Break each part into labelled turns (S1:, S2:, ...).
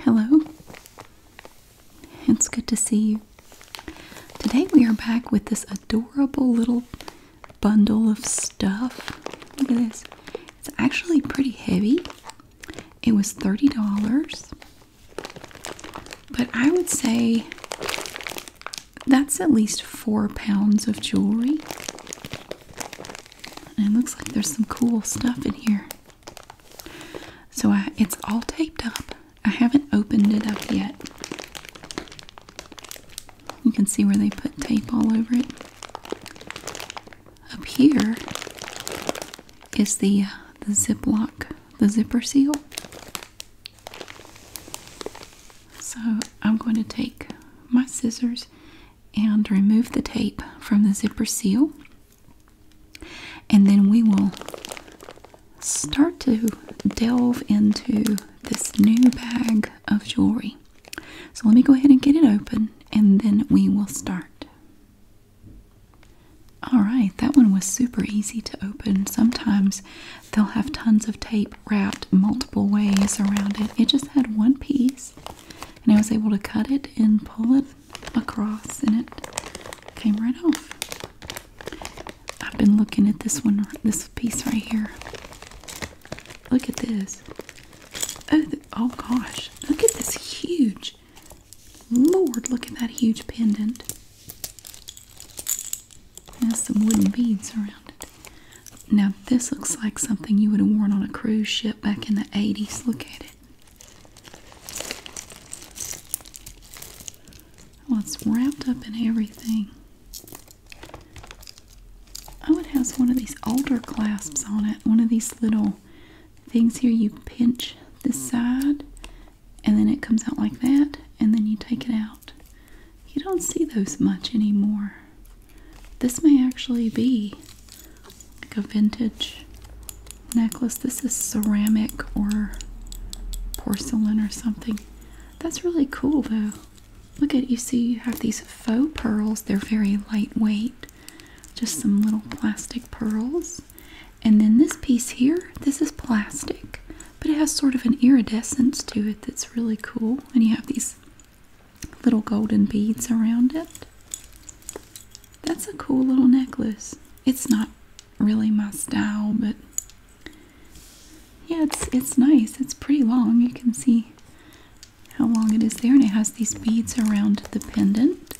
S1: Hello. It's good to see you. Today we are back with this adorable little bundle of stuff. Look at this. It's actually pretty heavy. It was $30. But I would say that's at least four pounds of jewelry it looks like there's some cool stuff in here. So I, it's all taped up. I haven't opened it up yet. You can see where they put tape all over it. Up here is the uh, the Ziploc, the zipper seal. So I'm going to take my scissors and remove the tape from the zipper seal. And then we will start to delve into this new bag of jewelry. So let me go ahead and get it open and then we will start. Alright, that one was super easy to open. Sometimes they'll have tons of tape wrapped multiple ways around it. It just had one piece, and I was able to cut it and pull it across, and it came right off. I've been looking at this one, this piece right here. Look at this. Oh, oh gosh. Look at this huge. Lord, look at that huge pendant. has some wooden beads around it. Now, this looks like something you would have worn on a cruise ship back in the 80s. Look at it. Well, it's wrapped up in everything. Oh, it has one of these older clasps on it, one of these little things here. You pinch this side, and then it comes out like that, and then you take it out. You don't see those much anymore. This may actually be like a vintage necklace. This is ceramic or porcelain or something. That's really cool though. Look at you see you have these faux pearls. They're very lightweight. Just some little plastic pearls. And then this piece here, this is plastic, but it has sort of an iridescence to it that's really cool. And you have these little golden beads around it. That's a cool little necklace. It's not really my style, but yeah, it's it's nice. It's pretty long. You can see how long it is there, and it has these beads around the pendant.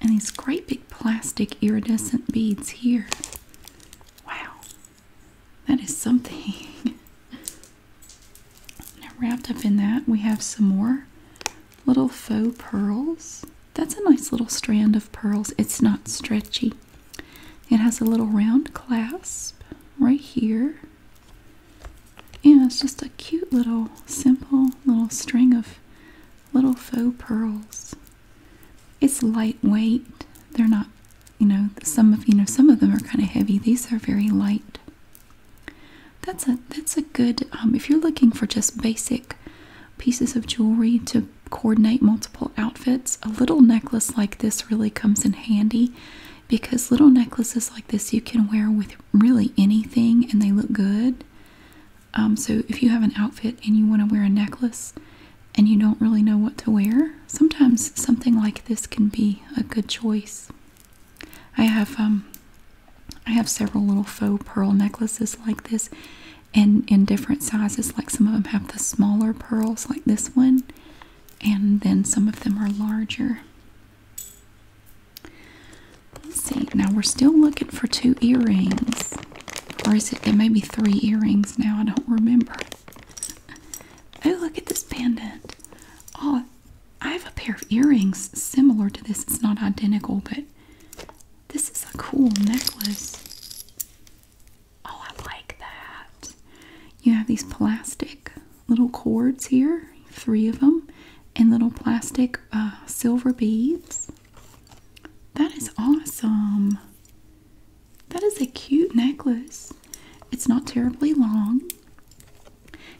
S1: And these great big plastic iridescent beads here. Wow. That is something. wrapped up in that, we have some more little faux pearls. That's a nice little strand of pearls. It's not stretchy. It has a little round clasp right here. And it's just a cute little, simple little string of little faux pearls. It's lightweight. They're not you know some of you know some of them are kind of heavy these are very light that's a that's a good um, if you're looking for just basic pieces of jewelry to coordinate multiple outfits a little necklace like this really comes in handy because little necklaces like this you can wear with really anything and they look good um, so if you have an outfit and you want to wear a necklace and you don't really know what to wear sometimes something like this can be a good choice I have um I have several little faux pearl necklaces like this and in different sizes like some of them have the smaller pearls like this one and then some of them are larger. see. Now we're still looking for two earrings. Or is it, maybe three earrings now. I don't remember. Oh, look at this pendant. Oh, I have a pair of earrings similar to this. It's not identical, but this is a cool necklace. Oh, I like that. You have these plastic little cords here, three of them, and little plastic uh, silver beads. That is awesome. That is a cute necklace. It's not terribly long.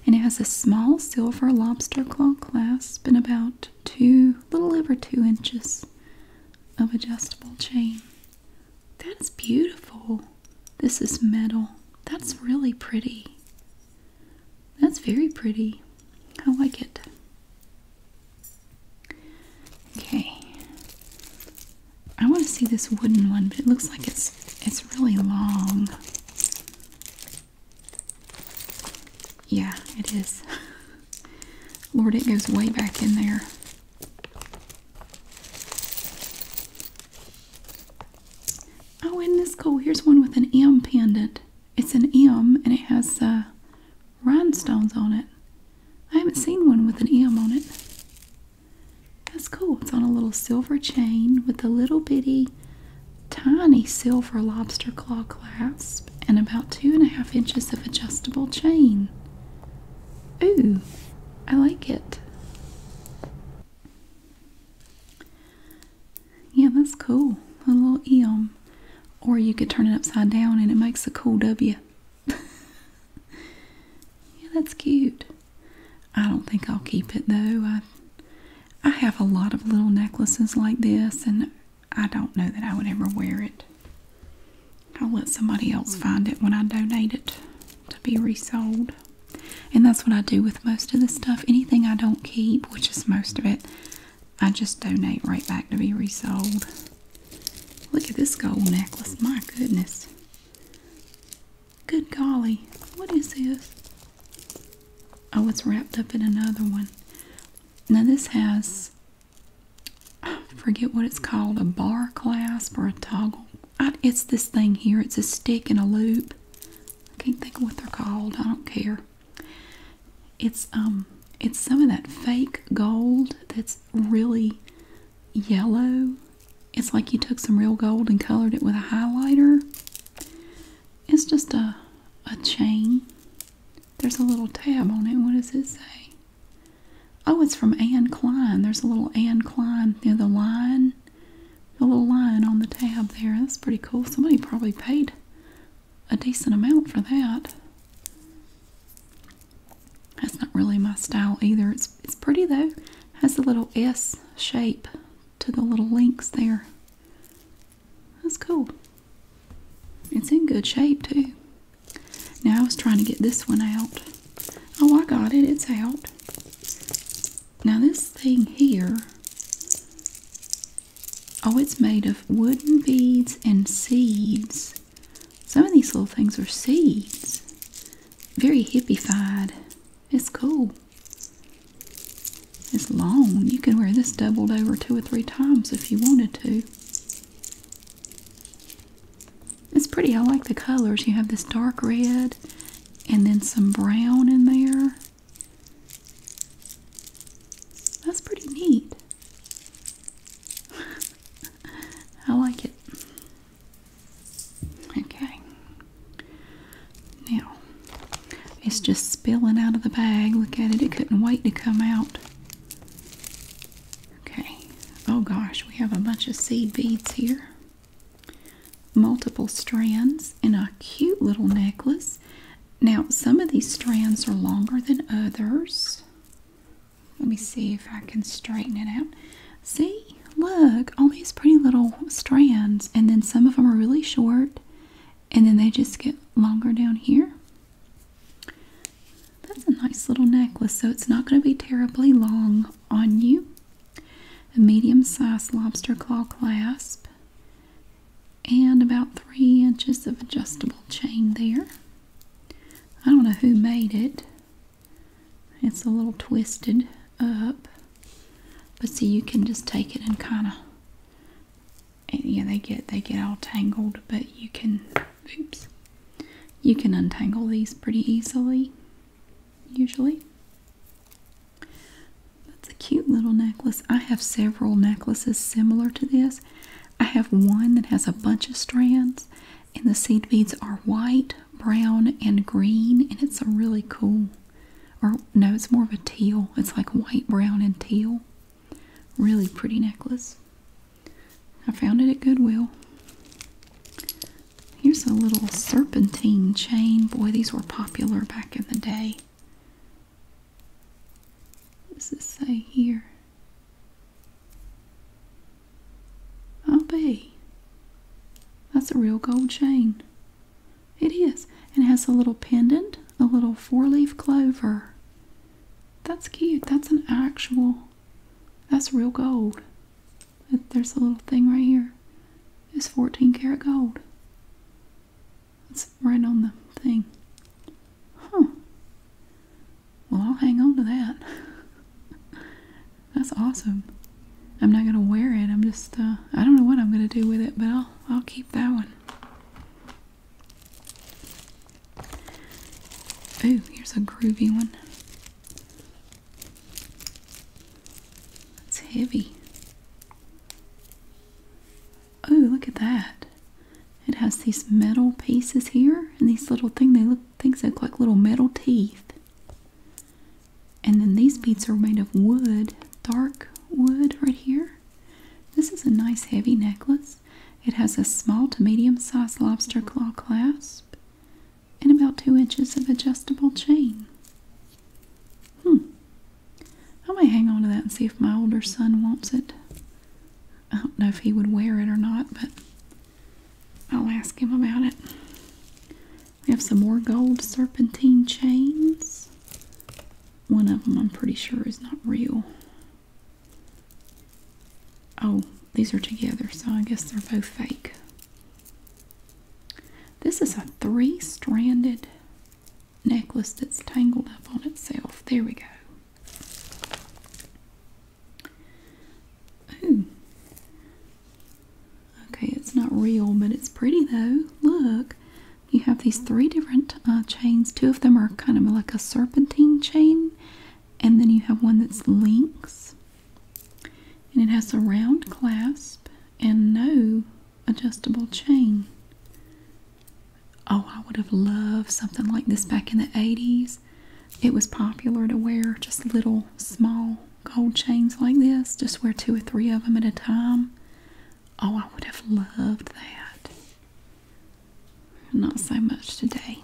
S1: And it has a small silver lobster claw clasp and about two, little over two inches of adjustable chain. That's beautiful. This is metal. That's really pretty. That's very pretty. I like it. Okay. I want to see this wooden one, but it looks like it's it's really long. Yeah, it is. Lord, it goes way back in there. Oh, in this cool? Here's one with an M pendant. It's an M and it has uh, rhinestones on it. I haven't seen one with an M on it. That's cool. It's on a little silver chain with a little bitty, tiny silver lobster claw clasp and about two and a half inches of adjustable chain. Ooh, I like it. Yeah, that's cool. A little M. Or you could turn it upside down and it makes a cool W. yeah, that's cute. I don't think I'll keep it though. I I have a lot of little necklaces like this and I don't know that I would ever wear it. I'll let somebody else hmm. find it when I donate it to be resold. And that's what I do with most of the stuff. Anything I don't keep, which is most of it, I just donate right back to be resold. Look at this gold necklace. My goodness. Good golly, what is this? Oh, I was wrapped up in another one. Now, this has, forget what it's called, a bar clasp or a toggle. it's this thing here. It's a stick and a loop. I can't think of what they're called. I don't care. It's, um, it's some of that fake gold that's really yellow it's like you took some real gold and colored it with a highlighter. It's just a a chain. There's a little tab on it. What does it say? Oh, it's from Anne Klein. There's a little Anne Klein near the line. The little line on the tab there. That's pretty cool. Somebody probably paid a decent amount for that. That's not really my style either. It's it's pretty though. Has a little S shape to the little links there. That's cool. It's in good shape too. Now I was trying to get this one out. Oh, I got it. It's out. Now this thing here, oh, it's made of wooden beads and seeds. Some of these little things are seeds. Very hippy hippified. It's cool. It's long. You can wear this doubled over two or three times if you wanted to. It's pretty. I like the colors. You have this dark red and then some brown in there. That's pretty neat. I like it. Okay. Now, it's just spilling out of the bag. Look at it. It couldn't wait to come out. Okay. Oh gosh, we have a bunch of seed beads here. Multiple strands in a cute little necklace. Now, some of these strands are longer than others. Let me see if I can straighten it out. See, look, all these pretty little strands, and then some of them are really short, and then they just get longer down here. That's a nice little necklace, so it's not going to be terribly long on you. A medium sized lobster claw clasp, and about three inches of adjustable chain there. I don't know who made it, it's a little twisted up. But see, you can just take it and kind of, yeah, they get they get all tangled. But you can, oops, you can untangle these pretty easily. Usually, that's a cute little necklace. I have several necklaces similar to this. I have one that has a bunch of strands, and the seed beads are white brown and green and it's a really cool or no it's more of a teal it's like white brown and teal really pretty necklace i found it at goodwill here's a little serpentine chain boy these were popular back in the day what does this say here i'll oh, be that's a real gold chain it is. It has a little pendant, a little four-leaf clover. That's cute. That's an actual, that's real gold. There's a little thing right here. It's 14 karat gold. It's right on the thing. Huh. Well, I'll hang on to that. That's awesome. I'm not gonna wear it. I'm just uh, I don't know what I'm gonna do with it, but I'll I'll keep that one. Ooh, here's a groovy one. It's heavy. Oh, look at that. It has these metal pieces here and these little thing they look things look like little metal teeth. And then these beads are made of wood, dark wood right here. This is a nice heavy necklace. It has a small to medium sized lobster claw clasp and about two inches of adjustable chain. Hmm. I might hang on to that and see if my older son wants it. I don't know if he would wear it or not, but I'll ask him about it. We have some more gold serpentine chains. One of them I'm pretty sure is not real. Oh, these are together, so I guess they're both fake. This is a three stranded necklace that's tangled up on itself. There we go. Ooh, Okay, it's not real, but it's pretty though. Look, you have these three different uh, chains. Two of them are kind of like a serpentine chain, and then you have one that's links, and it has a round clasp and no adjustable chain. Oh, I would have loved something like this back in the 80s. It was popular to wear just little, small gold chains like this. Just wear two or three of them at a time. Oh, I would have loved that. Not so much today.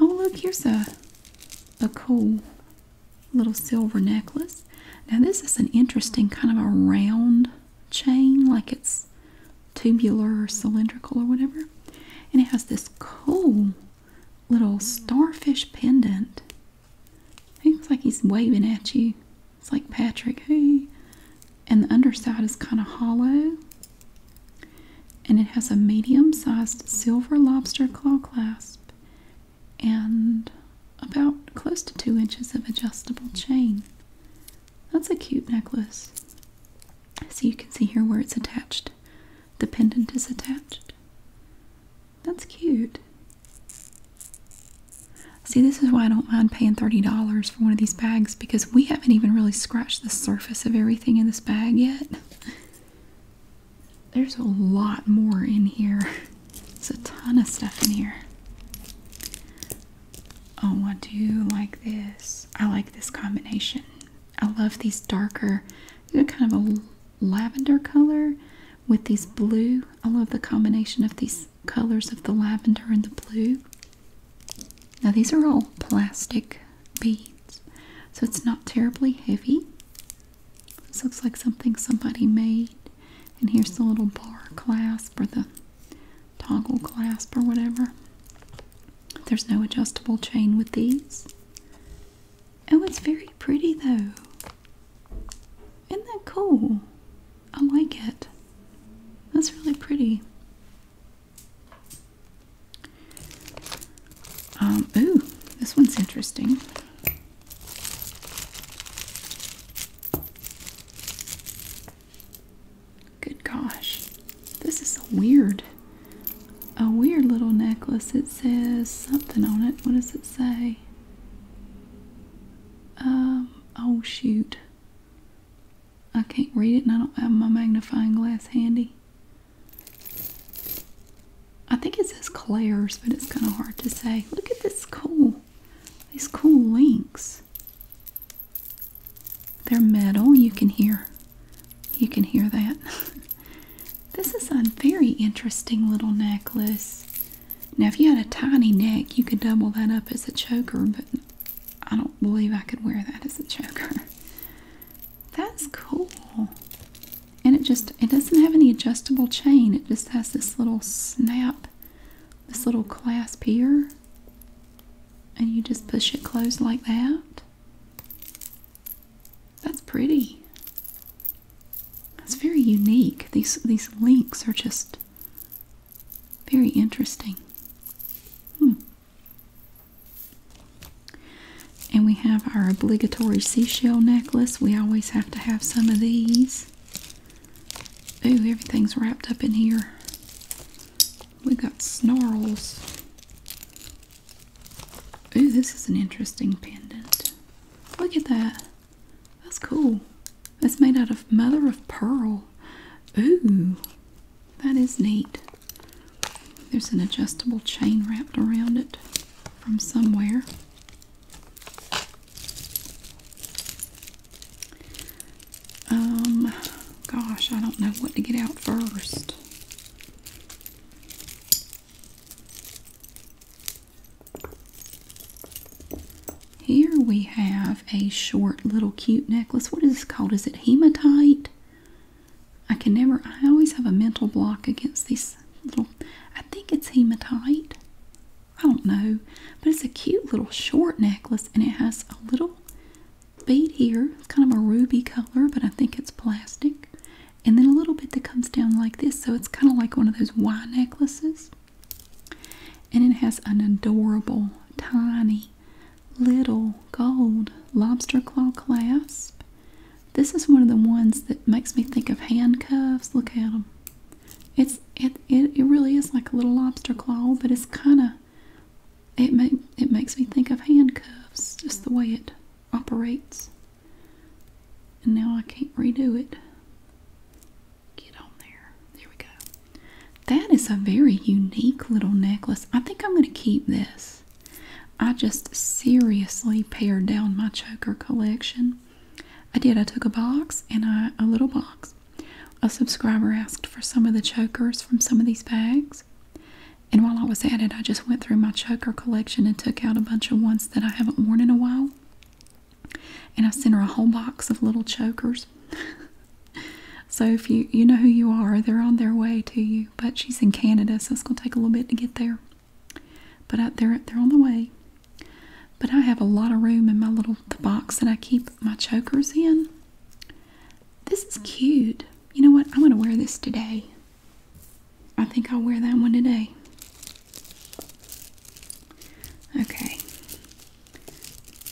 S1: Oh, look, here's a, a cool little silver necklace. Now, this is an interesting kind of a round chain, like it's tubular or cylindrical or whatever. And it has this cool little starfish pendant he looks like he's waving at you. It's like Patrick, hey. And the underside is kind of hollow. And it has a medium sized silver lobster claw clasp and about close to two inches of adjustable chain. That's a cute necklace. So you can see here where it's attached. The pendant is attached. That's cute. See, this is why I don't mind paying $30 for one of these bags because we haven't even really scratched the surface of everything in this bag yet. There's a lot more in here. It's a ton of stuff in here. Oh, I do like this. I like this combination. I love these darker, kind of a lavender color, with these blue. I love the combination of these colors of the lavender and the blue. Now, these are all plastic beads, so it's not terribly heavy. This looks like something somebody made. And here's the little bar clasp or the toggle clasp or whatever. There's no adjustable chain with these. Oh, it's very pretty though. Isn't that cool? I like it. That's really pretty. Um, ooh, this one's interesting. Good gosh. This is a weird, a weird little necklace. It says something on it. What does it say? Um, oh shoot. I can't read it and I don't have my magnifying glass handy. I think it says Claire's, but it's kind of hard to say. Look at this cool, these cool links. They're metal. You can hear, you can hear that. This is a very interesting little necklace. Now, if you had a tiny neck, you could double that up as a choker, but I don't believe I could wear that as a choker. That's cool. And it just, it doesn't have any adjustable chain. It just has this little snap, this little clasp here. And you just push it closed like that. That's pretty. That's very unique. These these links are just very interesting. Hmm. And we have our obligatory seashell necklace. We always have to have some of these. Ooh, everything's wrapped up in here. We got snarls. Ooh, this is an interesting pendant. Look at that. That's cool. That's made out of mother of pearl. Ooh, that is neat. There's an adjustable chain wrapped around it from somewhere. Um, gosh, I don't know what to get out first. Here we have a short little cute necklace. What is this called? Is it hematite? I can never, I always have a mental block against these little, I think it's hematite. I don't know, but it's a cute little short necklace and it has a little bead here. It's kind of a ruby color, but I think it's plastic and then a little bit that comes down like this. So it's kind of like one of those Y necklaces. And it has an adorable, tiny, little gold lobster claw clasp. This is one of the ones that makes me think of handcuffs. Look at them. It's it it, it really is like a little lobster claw, but it's kind of it make, it makes me think of handcuffs just the way it operates. And now I can't redo it. Get on there. There we go. That is a very unique little necklace. I think I'm going to keep this. I just seriously pared down my choker collection. I did. I took a box and I, a little box. A subscriber asked for some of the chokers from some of these bags. And while I was at it, I just went through my choker collection and took out a bunch of ones that I haven't worn in a while. And I sent her a whole box of little chokers. so if you you know who you are, they're on their way to you. But she's in Canada, so it's gonna take a little bit to get there. But I, they're they're on the way. But I have a lot of room in my little the box that I keep my chokers in. This is cute. You know what? I'm gonna wear this today. I think I'll wear that one today. Okay.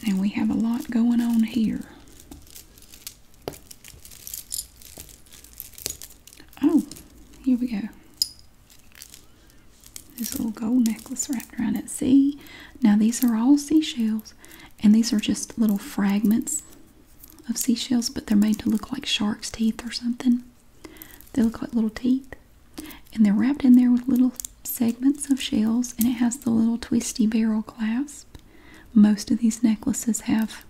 S1: And we have a lot going on here. Oh, here we go. This little gold necklace wrapped around it. See? Now these are all seashells. And these are just little fragments of seashells, but they're made to look like shark's teeth or something. They look like little teeth. And they're wrapped in there with little segments of shells, and it has the little twisty barrel clasp. Most of these necklaces have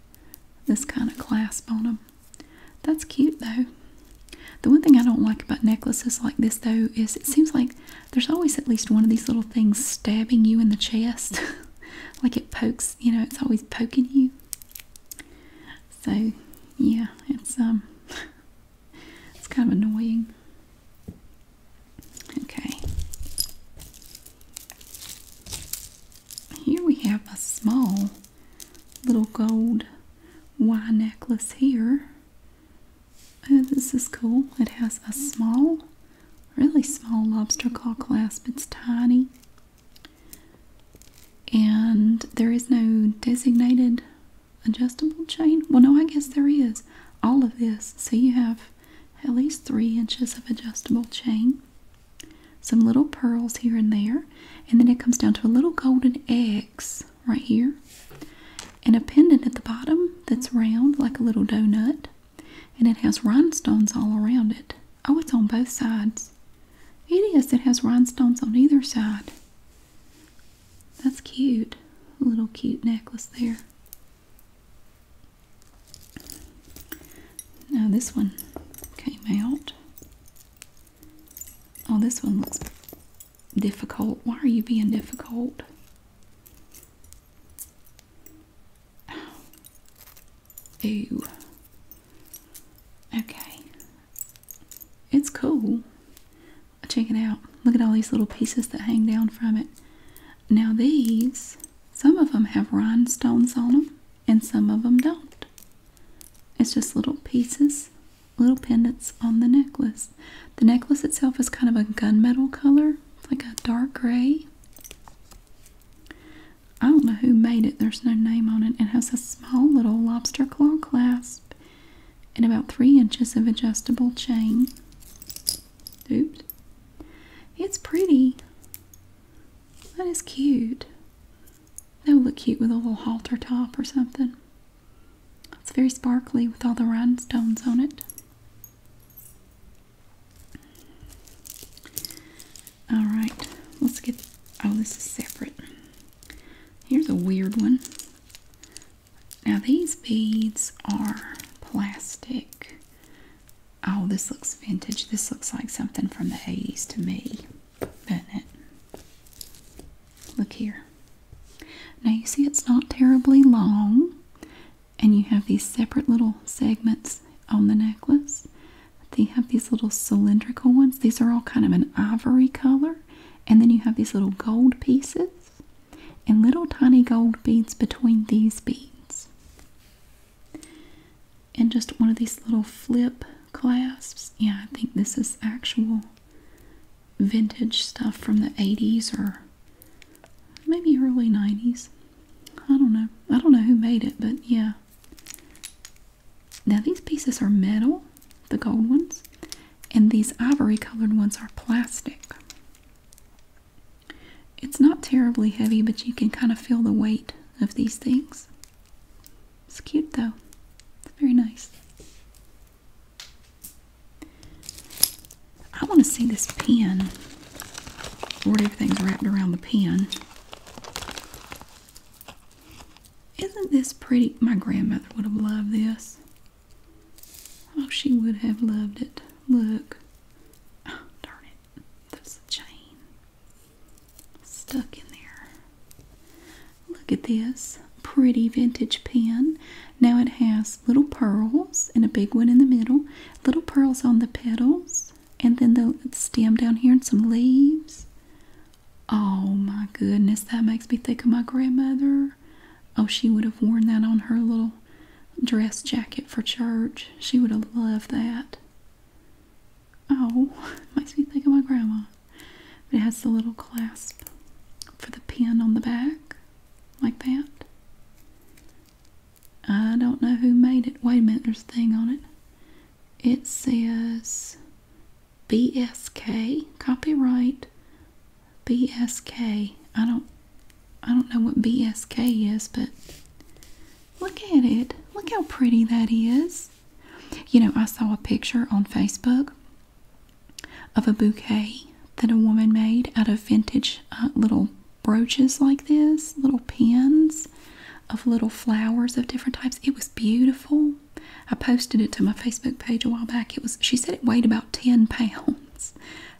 S1: this kind of clasp on them. That's cute though. The one thing I don't like about necklaces like this though is it seems like there's always at least one of these little things stabbing you in the chest. like it pokes, you know, it's always poking you. So yeah, it's um it's kind of annoying. Okay. Here we have a small little gold Y necklace here. Oh, this is cool. It has a small, really small lobster claw clasp. It's tiny. And there is no designated adjustable chain. Well, no, I guess there is. All of this. So you have at least three inches of adjustable chain, some little pearls here and there, and then it comes down to a little golden X right here, and a pendant at the bottom that's round like a little donut, and it has rhinestones all around it. Oh, it's on both sides. It is. It has rhinestones on either side. That's cute. A little cute necklace there. Now this one came out. Oh, this one looks difficult. Why are you being difficult? Ew. Okay. It's cool. Check it out. Look at all these little pieces that hang down from it. Now these, some of them have rhinestones on them and some of them don't. It's just little pieces, little pendants on the necklace. The necklace itself is kind of a gunmetal color. It's like a dark gray. I don't know who made it. There's no name on it. It has a small little lobster claw clasp and about three inches of adjustable chain. Oops. It's pretty. That is cute. That would look cute with a little halter top or something. It's very sparkly with all the rhinestones on it. Alright, let's get. Oh, this is separate. Here's a weird one. Now these beads are plastic. Oh, this looks vintage. This looks like something from the 80s to me, doesn't it? Look here. Now you see it's not terribly long. And you have these separate little segments on the necklace. They have these little cylindrical ones. These are all kind of an ivory color and then you have these little gold pieces and little tiny gold beads between these beads. And just one of these little flip clasps. Yeah, I think this is actual vintage stuff from the 80s or maybe early 90s. I don't know. I don't know who made it, but yeah. Now these pieces are metal, the gold ones, and these ivory colored ones are plastic. It's not terribly heavy, but you can kind of feel the weight of these things. It's cute though. It's very nice. I want to see this pin. Lord, everything's wrapped around the pin. Isn't this pretty? My grandmother would have loved this. Oh, she would have loved it. Look. Oh, darn it. There's a chain stuck in there. Look at this pretty vintage pin. Now it has little pearls and a big one in the middle, little pearls on the petals, and then the stem down here and some leaves. Oh my goodness, that makes me think of my grandmother. Oh, she would have worn that on her little dress jacket for church. She would have loved that. Oh, makes me think of my grandma. But it has the little clasp for the pin on the back, like that. I don't know who made it. Wait a minute, there's a thing on it. It says BSK copyright BSK I don't I don't know what BSK is but look at it look how pretty that is you know I saw a picture on Facebook of a bouquet that a woman made out of vintage uh, little brooches like this little pins of little flowers of different types it was beautiful I posted it to my Facebook page a while back. It was she said it weighed about 10 pounds.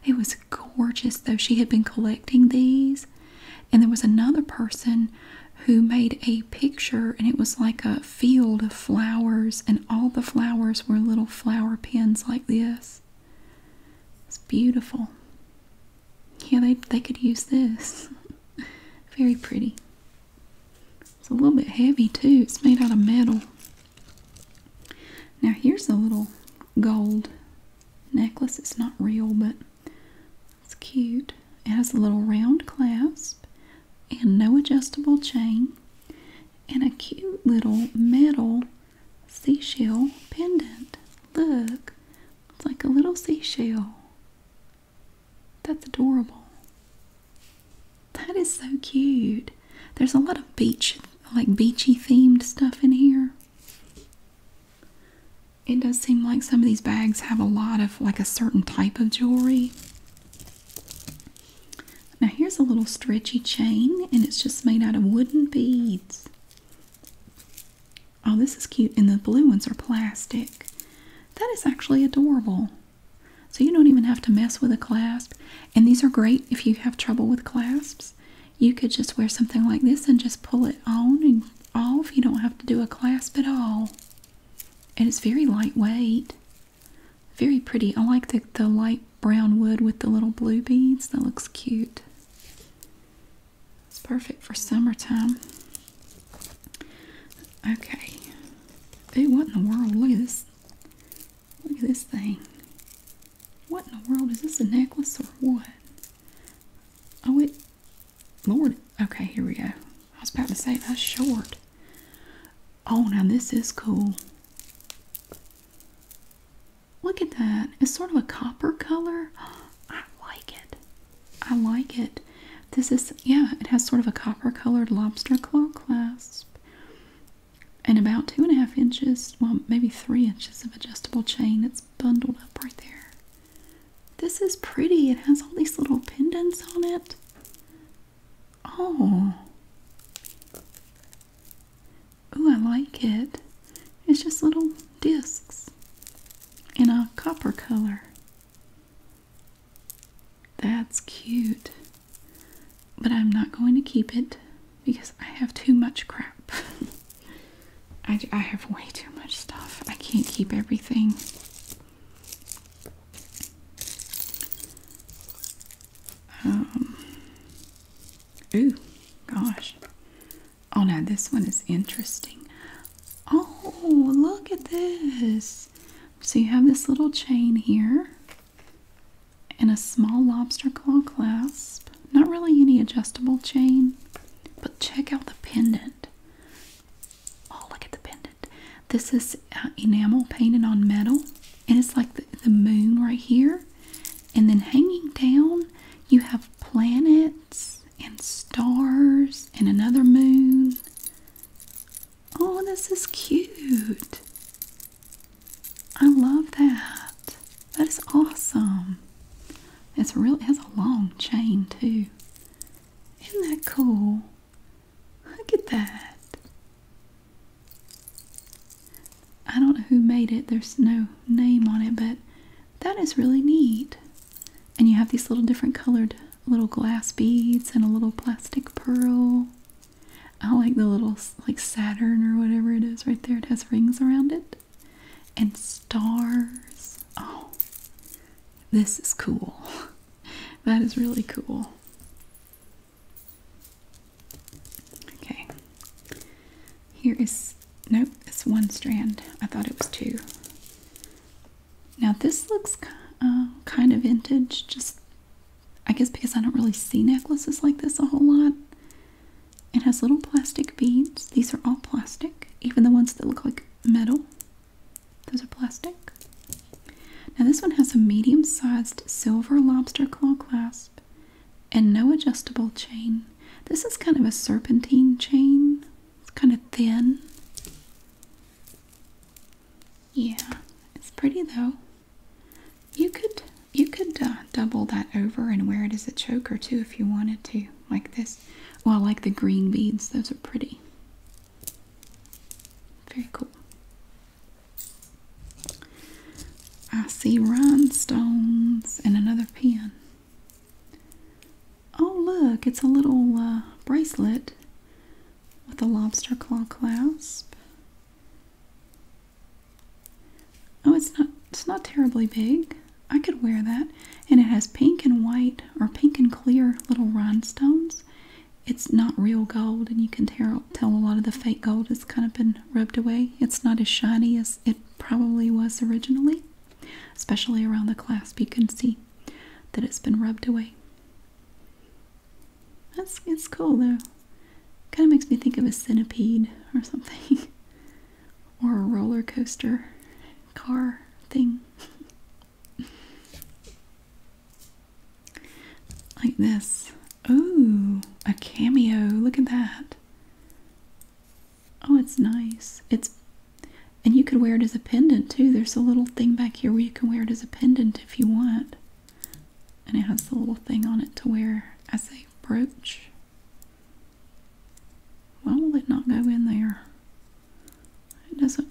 S1: It was gorgeous though. She had been collecting these. And there was another person who made a picture and it was like a field of flowers and all the flowers were little flower pins like this. It's beautiful. Yeah, they they could use this. Very pretty. It's a little bit heavy too. It's made out of metal. Now here's a little gold necklace. It's not real, but it's cute. It has a little round clasp and no adjustable chain and a cute little metal seashell pendant. Look, it's like a little seashell. That's adorable. That is so cute. There's a lot of beach, like beachy themed stuff in here. It does seem like some of these bags have a lot of like a certain type of jewelry. Now here's a little stretchy chain and it's just made out of wooden beads. Oh, this is cute. And the blue ones are plastic. That is actually adorable. So you don't even have to mess with a clasp. And these are great if you have trouble with clasps. You could just wear something like this and just pull it on and off. You don't have to do a clasp at all. And it's very lightweight. Very pretty. I like the, light brown wood with the little blue beads. That looks cute. It's perfect for summertime. Okay. Ooh, what in the world? is? this Look at this thing. What in the world? Is this a necklace or what? Oh, it. Lord. Okay, here we go. I was about to say that's short. Oh, now this is cool. Look at that. It's sort of a copper color. I like it. I like it. This is, yeah, it has sort of a copper colored lobster claw clasp and about two and a half inches, well, maybe three inches of adjustable chain. It's bundled up right there. This is pretty. It has all these little pendants on it. Oh. Ooh, I like it. It's just little discs in a copper color. That's cute. But I'm not going to keep it because I have too much crap. I, I have way too much stuff. I can't keep everything. Um, ooh, gosh. Oh no, this one is interesting. Oh, look at this. So you have this little chain here and a small lobster claw clasp. Not really any adjustable chain, but check out the pendant. Oh, look at the pendant. This is uh, enamel painted on metal, and it's like the, the moon right here. And then hanging down, you have planets and stars and another moon. Oh, this is cute. I love that. That is awesome. It's real it has a long chain too. Isn't that cool? Look at that. I don't know who made it. There's no name on it, but that is really neat. And you have these little different colored little glass beads and a little plastic pearl. I like the little like Saturn or whatever it is right there. It has rings around it and stars. Oh, this is cool. That is really cool. Okay. Here is nope, it's one strand. I thought it was two. Now this looks uh, kind of vintage, just I guess because I don't really see necklaces like this a whole lot. It has little plastic beads. These are all plastic, even the ones that look like metal. Those are plastic. Now, this one has a medium sized silver lobster claw clasp and no adjustable chain. This is kind of a serpentine chain, it's kind of thin. Yeah, it's pretty though. You could you could uh, double that over and wear it as a choker too if you wanted to, like this. Well, I like the green beads; those are pretty. Very cool. I see rhinestones and another pin. Oh, look, it's a little uh, bracelet with a lobster claw clasp. Oh, it's not it's not terribly big. I could wear that. And it has pink and white or pink and clear little rhinestones. It's not real gold and you can tell, a lot of the fake gold has kind of been rubbed away. It's not as shiny as it probably was originally. Especially around the clasp you can see that it's been rubbed away. That's it's cool though. Kind of makes me think of a centipede or something, or a roller coaster car thing. like this. Oh, a cameo. Look at that. Oh, it's nice. It's and you could wear it as a pendant too. There's a little thing back here where you can wear it as a pendant if you want and it has the little thing on it to wear as a brooch. Why will it not go in there? It doesn't.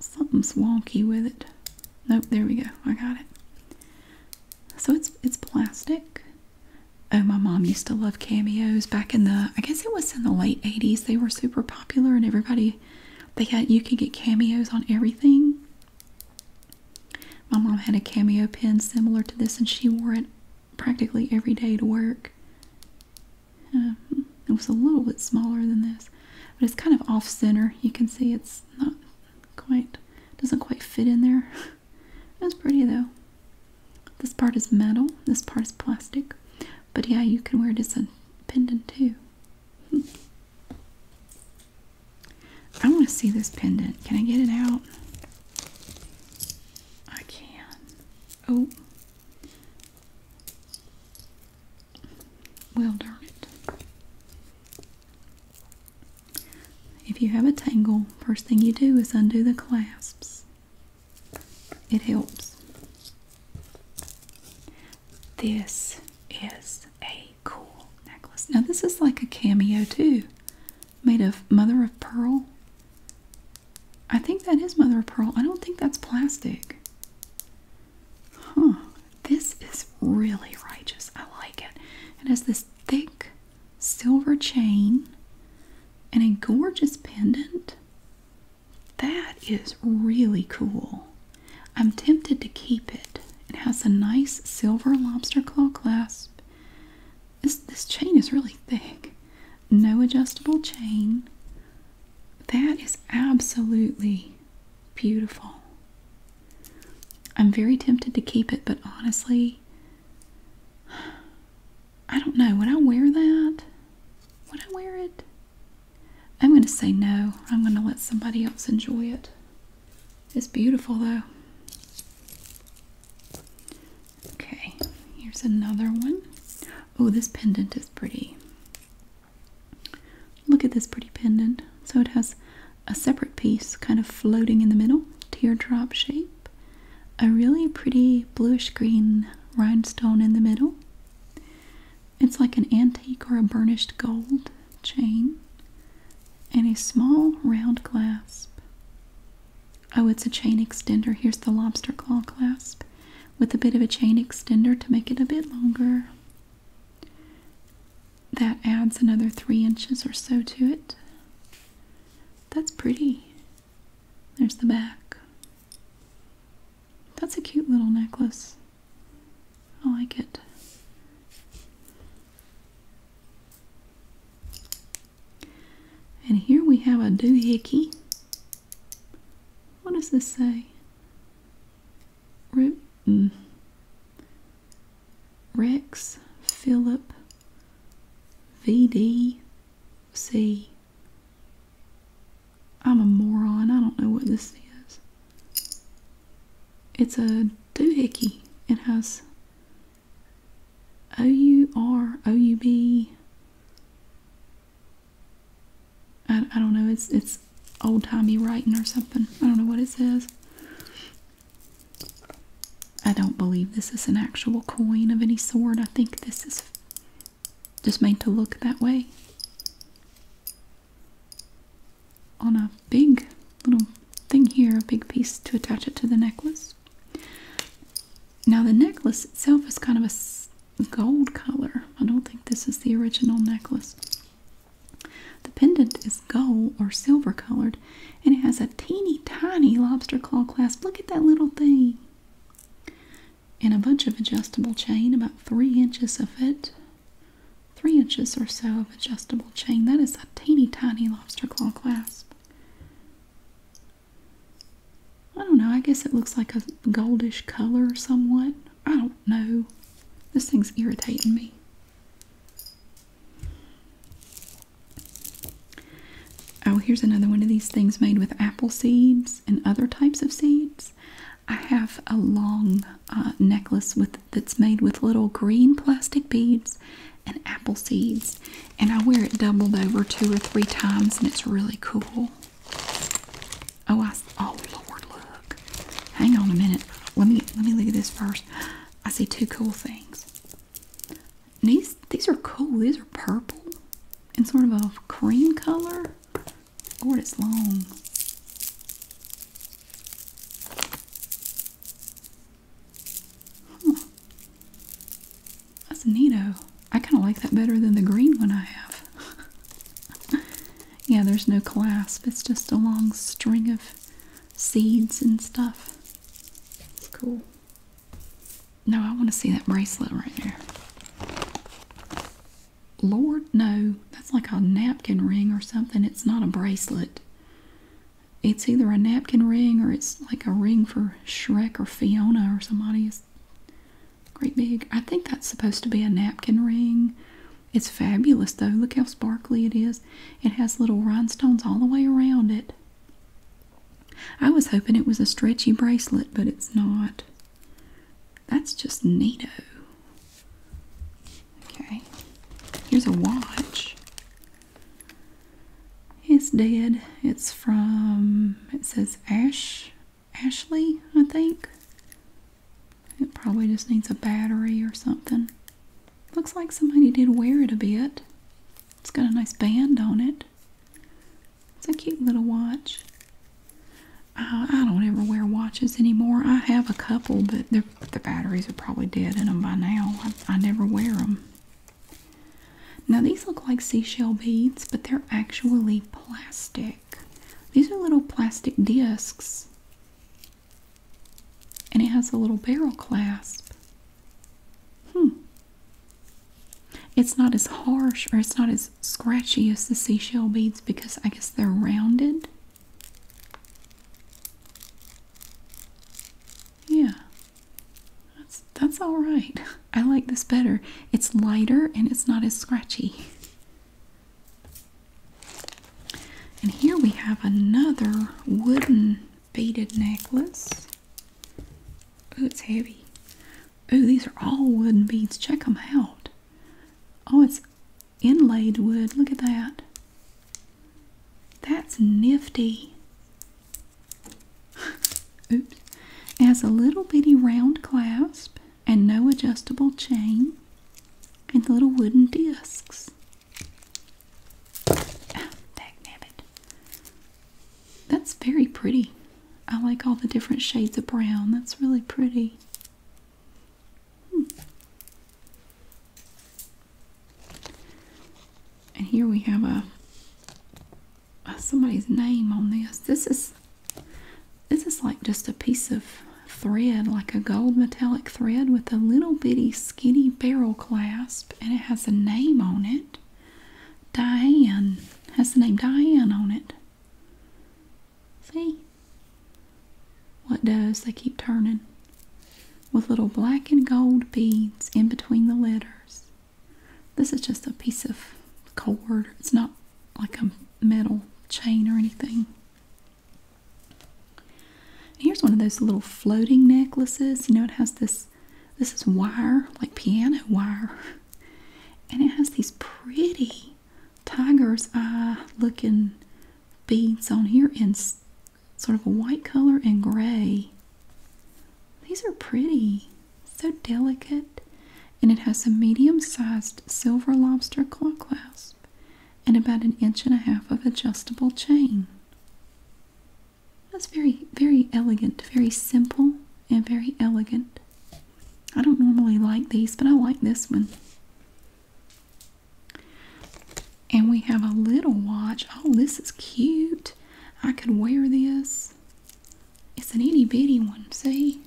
S1: Something's wonky with it. Nope, there we go. I got it. So it's it's plastic. Oh, my mom used to love cameos back in the. I guess it was in the late '80s. They were super popular, and everybody. They had you could get cameos on everything. My mom had a cameo pin similar to this, and she wore it practically every day to work. Uh, it was a little bit smaller than this, but it's kind of off center. You can see it's not quite, doesn't quite fit in there. It was pretty though. This part is metal, this part is plastic, but yeah, you can wear it as a pendant too. Hmm. I want to see this pendant. Can I get it out? I can. Oh. Well, darn it. If you have a tangle, first thing you do is undo the clasps. It helps. This is a cool necklace. Now this is like a cameo too. Made of mother of pearl. I think that is mother of pearl. I don't think that's plastic. Huh. This is really righteous. I like it. It has this thick silver chain and a gorgeous pendant. That is really cool. I'm tempted to keep it. It has a nice silver lobster claw clasp. This, chain is really thick. No adjustable chain. That is absolutely beautiful. I'm very tempted to keep it, but honestly, I don't know. Would I wear that? Would I wear it? I'm going to say no. I'm going to let somebody else enjoy it. It's beautiful though. Okay, here's another one. Oh, this pendant is pretty. Look at this pretty pendant. So it has a separate piece kind of floating in the middle, teardrop shape, a really pretty bluish green rhinestone in the middle. It's like an antique or a burnished gold chain, and a small round clasp. Oh, it's a chain extender. Here's the lobster claw clasp with a bit of a chain extender to make it a bit longer. That adds another three inches or so to it. That's pretty. There's the back. That's a cute little necklace. I like it. And here we have a doohickey. What does this say? Rip mm. Rex Philip V D am a moron. I don't know what this is. It's a doohickey. It has O U R O U B. I, I don't know. It's it's old timey writing or something. I don't know what it says. I don't believe this is an actual coin of any sort. I think this is just made to look that way on a big little thing here, a big piece to attach it to the necklace. Now, the necklace itself is kind of a gold color. I don't think this is the original necklace. The pendant is gold or silver colored and it has a teeny tiny lobster claw clasp. Look at that little thing. And a bunch of adjustable chain, about three inches of it three inches or so of adjustable chain. That is a teeny tiny lobster claw clasp. I don't know, I guess it looks like a goldish color somewhat. I don't know. This thing's irritating me. Oh, here's another one of these things made with apple seeds and other types of seeds. I have a long uh, necklace with that's made with little green plastic beads and apple seeds, and I wear it doubled over two or three times, and it's really cool. Oh, I oh Lord, look! Hang on a minute. Let me let me look at this first. I see two cool things. These these are cool. These are purple and sort of a cream color. Lord, it's long. Huh. Hmm. That's neato. I kind of like that better than the green one I have. yeah, there's no clasp. It's just a long string of seeds and stuff. It's cool. No, I want to see that bracelet right there. Lord, no. That's like a napkin ring or something. It's not a bracelet. It's either a napkin ring or it's like a ring for Shrek or Fiona or somebody. great big. I think that's supposed to be a napkin ring. It's fabulous though. Look how sparkly it is. It has little rhinestones all the way around it. I was hoping it was a stretchy bracelet, but it's not. That's just neato. Okay. Here's a watch. It's dead. It's from it says Ash Ashley, I think. It probably just needs a battery or something. Looks like somebody did wear it a bit. It's got a nice band on it. It's a cute little watch. Uh, I don't ever wear watches anymore. I have a couple, but they're the batteries are probably dead in them by now. I, I never wear them. Now these look like seashell beads, but they're actually plastic. These are little plastic discs. And it has a little barrel clasp. Hmm. It's not as harsh or it's not as scratchy as the seashell beads because I guess they're rounded. Yeah. That's that's all right. I like this better. It's lighter and it's not as scratchy. And here we have another wooden beaded necklace. Oh, it's heavy. Oh, these are all wooden beads. Check them out. Oh, it's inlaid wood. Look at that. That's nifty. Oops. It has a little bitty round clasp and no adjustable chain and the little wooden discs. Oh, ah, dagnabbit. That's very pretty. I like all the different shades of brown. That's really pretty. Hmm. And here we have a, a somebody's name on this. This is this is like just a piece of thread, like a gold metallic thread with a little bitty skinny barrel clasp, and it has a name on it. Diane has the name Diane on it. See? What does? They keep turning with little black and gold beads in between the letters. This is just a piece of cord. It's not like a metal chain or anything. Here's one of those little floating necklaces. You know, it has this, this is wire, like piano wire. And it has these pretty tiger's eye looking beads on here and sort of a white color and gray. These are pretty, so delicate, and it has a medium sized silver lobster claw clasp and about an inch and a half of adjustable chain. That's very, very elegant, very simple, and very elegant. I don't normally like these, but I like this one. And we have a little watch. Oh, this is cute. I could wear this. It's an itty bitty one, see?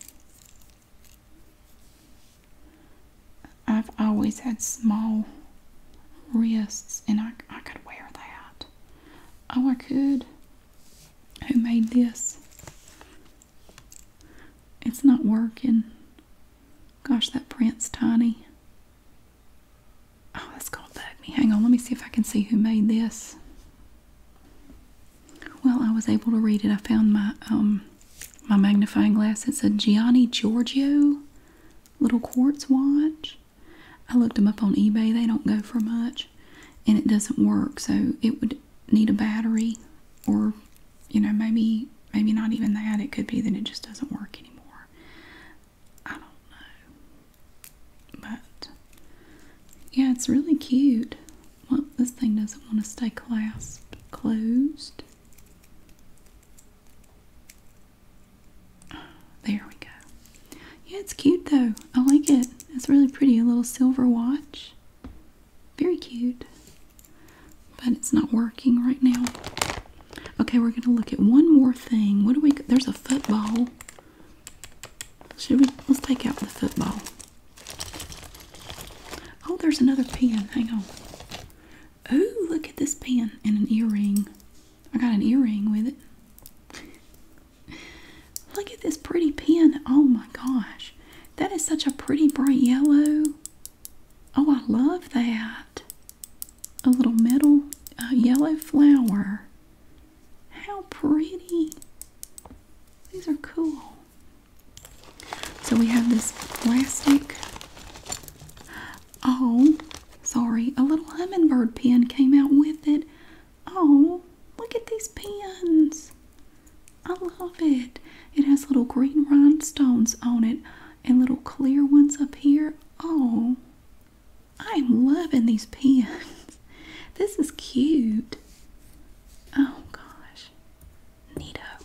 S1: I've always had small wrists and I, I could wear that. Oh, I could. Who made this? It's not working. Gosh, that print's tiny. Oh, that's gonna bug me. Hang on, let me see if I can see who made this. Well, I was able to read it. I found my um my magnifying glass. It's a Gianni Giorgio little quartz watch. I looked them up on eBay. They don't go for much, and it doesn't work. So it would need a battery, or you know maybe maybe not even that. It could be that it just doesn't work anymore. I don't know. But yeah, it's really cute. Well, this thing doesn't want to stay clasped closed. There we go. Yeah, it's cute though. I like it. It's really pretty. A little silver watch. Very cute. But it's not working right now. Okay, we're gonna look at one more thing. What do we? There's a football. Should we? Let's take out the football. Oh, there's another pen. Hang on. Oh, look at this pen and an earring. I got an earring with it. look at this pretty pen. Oh my gosh, that is such a pretty bright yellow. Oh, I love that a little metal yellow flower. How pretty! These are cool. So we have this plastic. Oh, sorry, a little hummingbird pin came out with it. Oh, look at these pins. I love it. It has little green rhinestones on it and little clear ones up here. Oh, I'm loving these pins. This is cute. Oh gosh. Neato.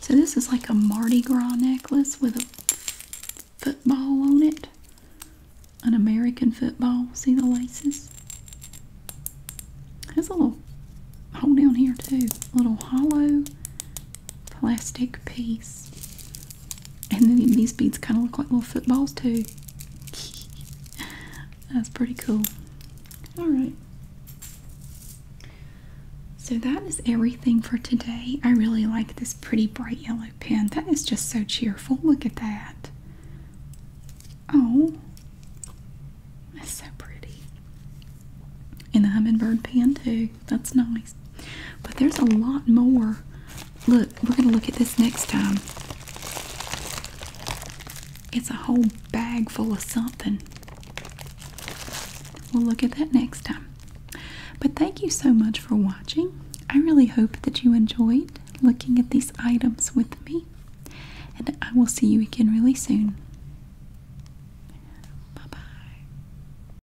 S1: So this is like a Mardi Gras necklace with a football on it. An American football. See the laces? There's a little hole down here too. A little hollow plastic piece. And then these beads kind of look like little footballs too. That's pretty cool. Alright. So that is everything for today. I really like this pretty bright yellow pen. That is just so cheerful. Look at that. Oh. That's so pretty. And the hummingbird pen too. That's nice. But there's a lot more. Look, we're going to look at this next time. It's a whole bag full of something. We'll look at that next time. But thank you so much for watching. I really hope that you enjoyed looking at these items with me. And I will see you again really soon. Bye bye.